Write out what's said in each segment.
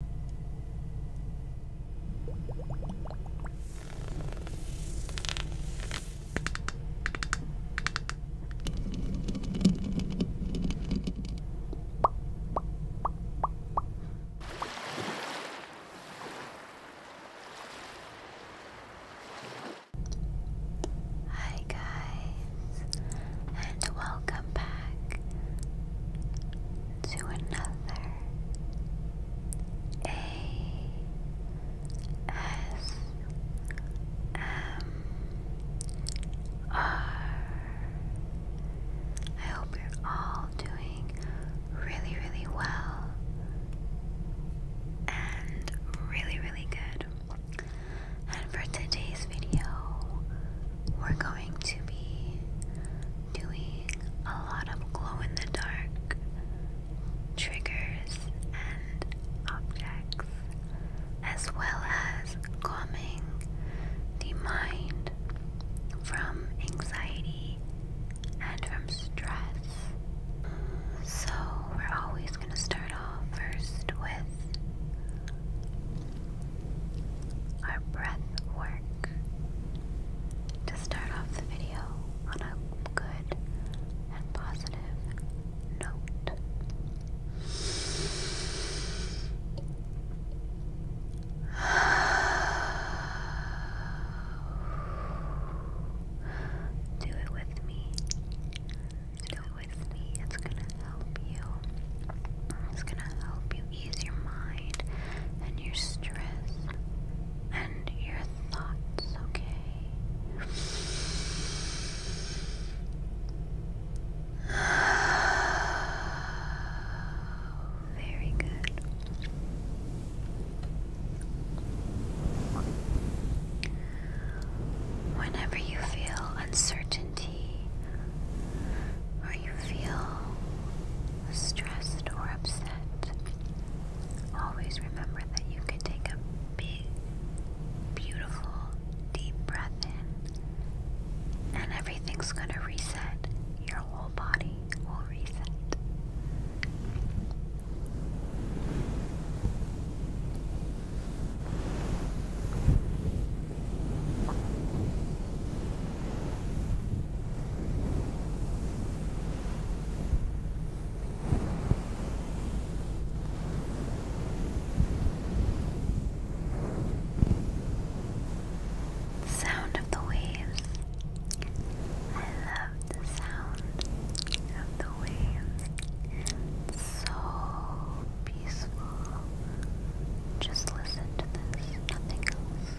Hi, guys, and welcome back to another A S M R. I hope you're all doing really, really well and really, really good. And for today's video, we're going going to be doing a lot of glow in the dark triggers and objects, as well as calming the mind from anxiety and from stress. So, we're always going to start off first with our breath work to start off the video on a good and positive note. Do it with me. Do it with me. It's gonna help you. It's gonna help you ease your mind and your stress and your thoughts, okay? Very good. Whenever you feel uncertainty or you feel stressed or upset, always remember that you can take a big, beautiful, deep breath in, and everything's going to reset. Your whole body will reset. The sound of the waves. I love the sound of the waves. so peaceful. Just listen to this, nothing else.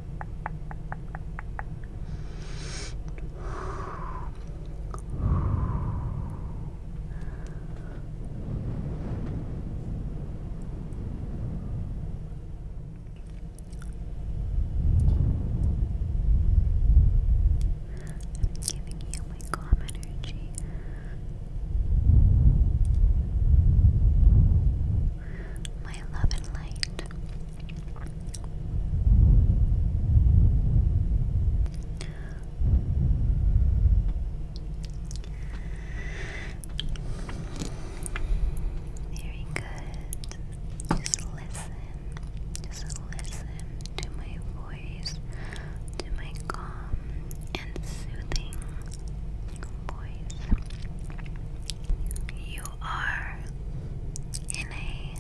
I'm giving you my calm energy my love and Very good. Just listen. Just listen to my voice, to my calm and soothing voice. You are in a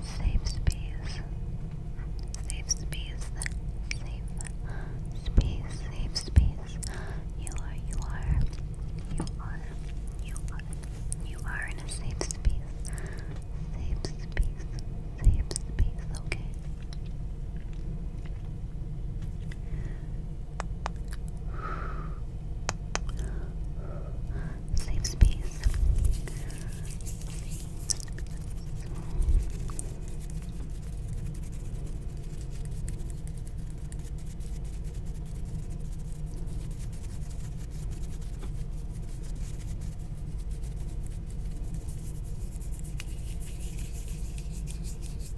safe space. Safe space. Safe space. Safe space. You are, you are, you are, you are, you are in a safe space. Safe space. Safe space, okay? Safe space.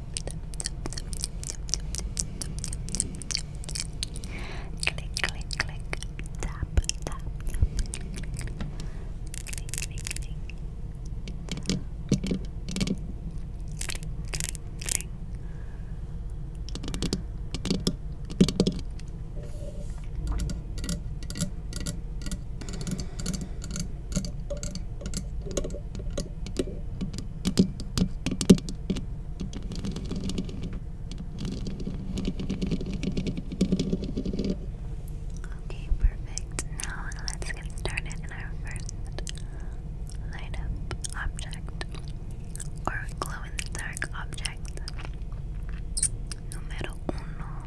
Klik klik klik tap tap klik klik klik Oke, Okay, perfect. Now let's get started in our first light up object or glow in the dark object. Numero uno.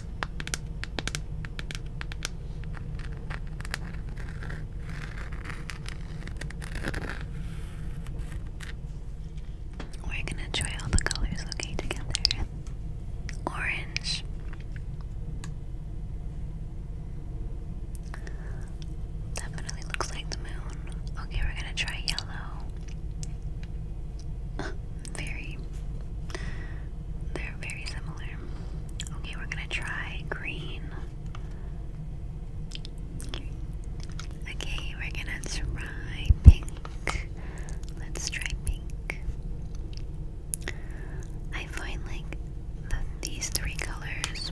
We're gonna try all the colors, okay, together. Orange. Definitely looks like the moon. Okay, we're gonna try yellow. very they're very similar. Okay, we're gonna try green. Okay, we're gonna try pink. Let's try pink. I find like these three colors,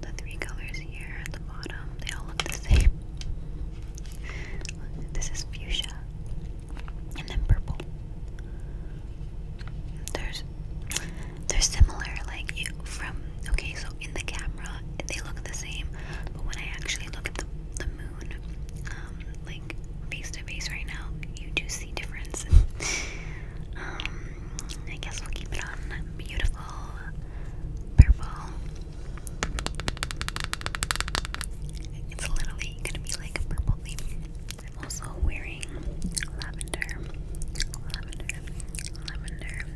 the three colors here at the bottom, they all look the same. This is fuchsia and then purple. There's they're similar, like from okay, so in the camera they look the same, but when I actually look at the the moon, um, like face to face right now, you do see difference. um, I guess we'll keep it on beautiful purple. It's literally probably gonna be like a purple theme. I'm also wearing lavender, lavender, lavender,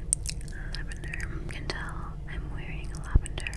lavender. You can tell I'm wearing lavender.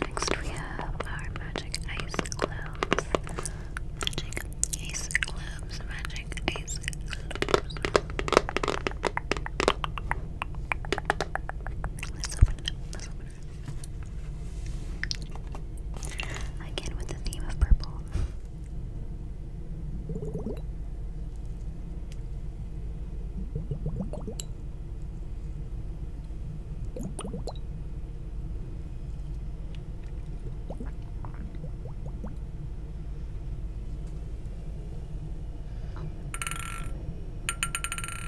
Next, we have our magic ice globes. Magic ice globes, magic ice globes. Let's open up. Let's open Again with the theme of purple.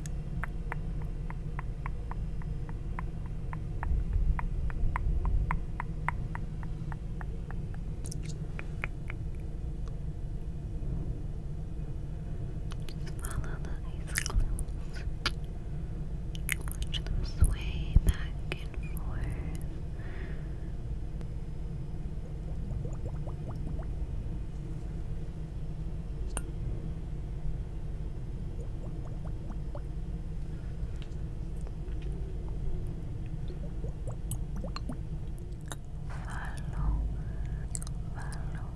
Follow the ice Watch them sway back and forth. Follow, follow,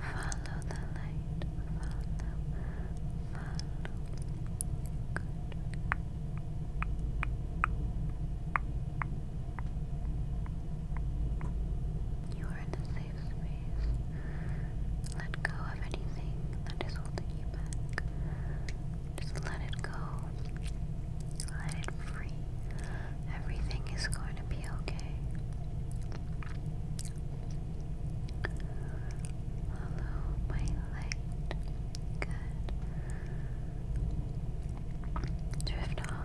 follow the light, follow, You are in a let go of anything that is holding you back. Just let it go. Let it free. Everything is going to be okay. Follow my light. Drift off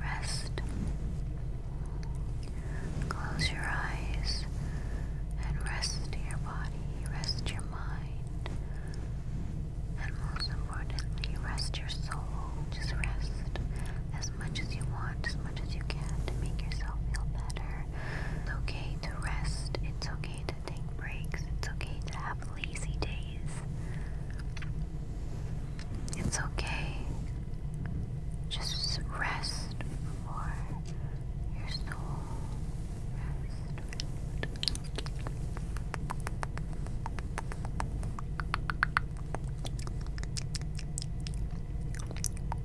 Rest. Close your eyes and rest your body, rest your mind, and most importantly, rest your soul. Just rest as much as you want, as much as you can to make yourself feel better. It's okay to rest. It's okay to take breaks. It's okay to have lazy days. It's okay. Just rest for your soul.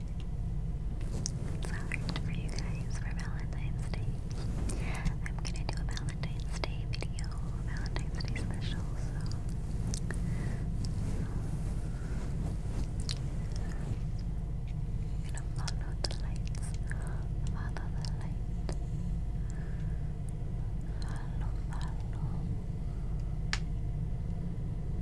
It's for you guys for Valentine's Day. I'm gonna do a Valentine's Day video, Valentine's Day special, so i the lights. Follow the light. Follow, follow.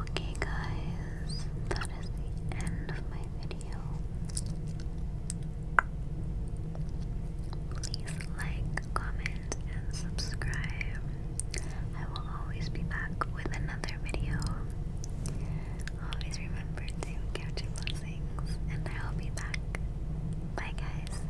Okay, guys, that is the end of my video. Please like, comment, and subscribe. I will always be back with another video. Always remember to catch your blessings, and I'll be back. Bye, guys.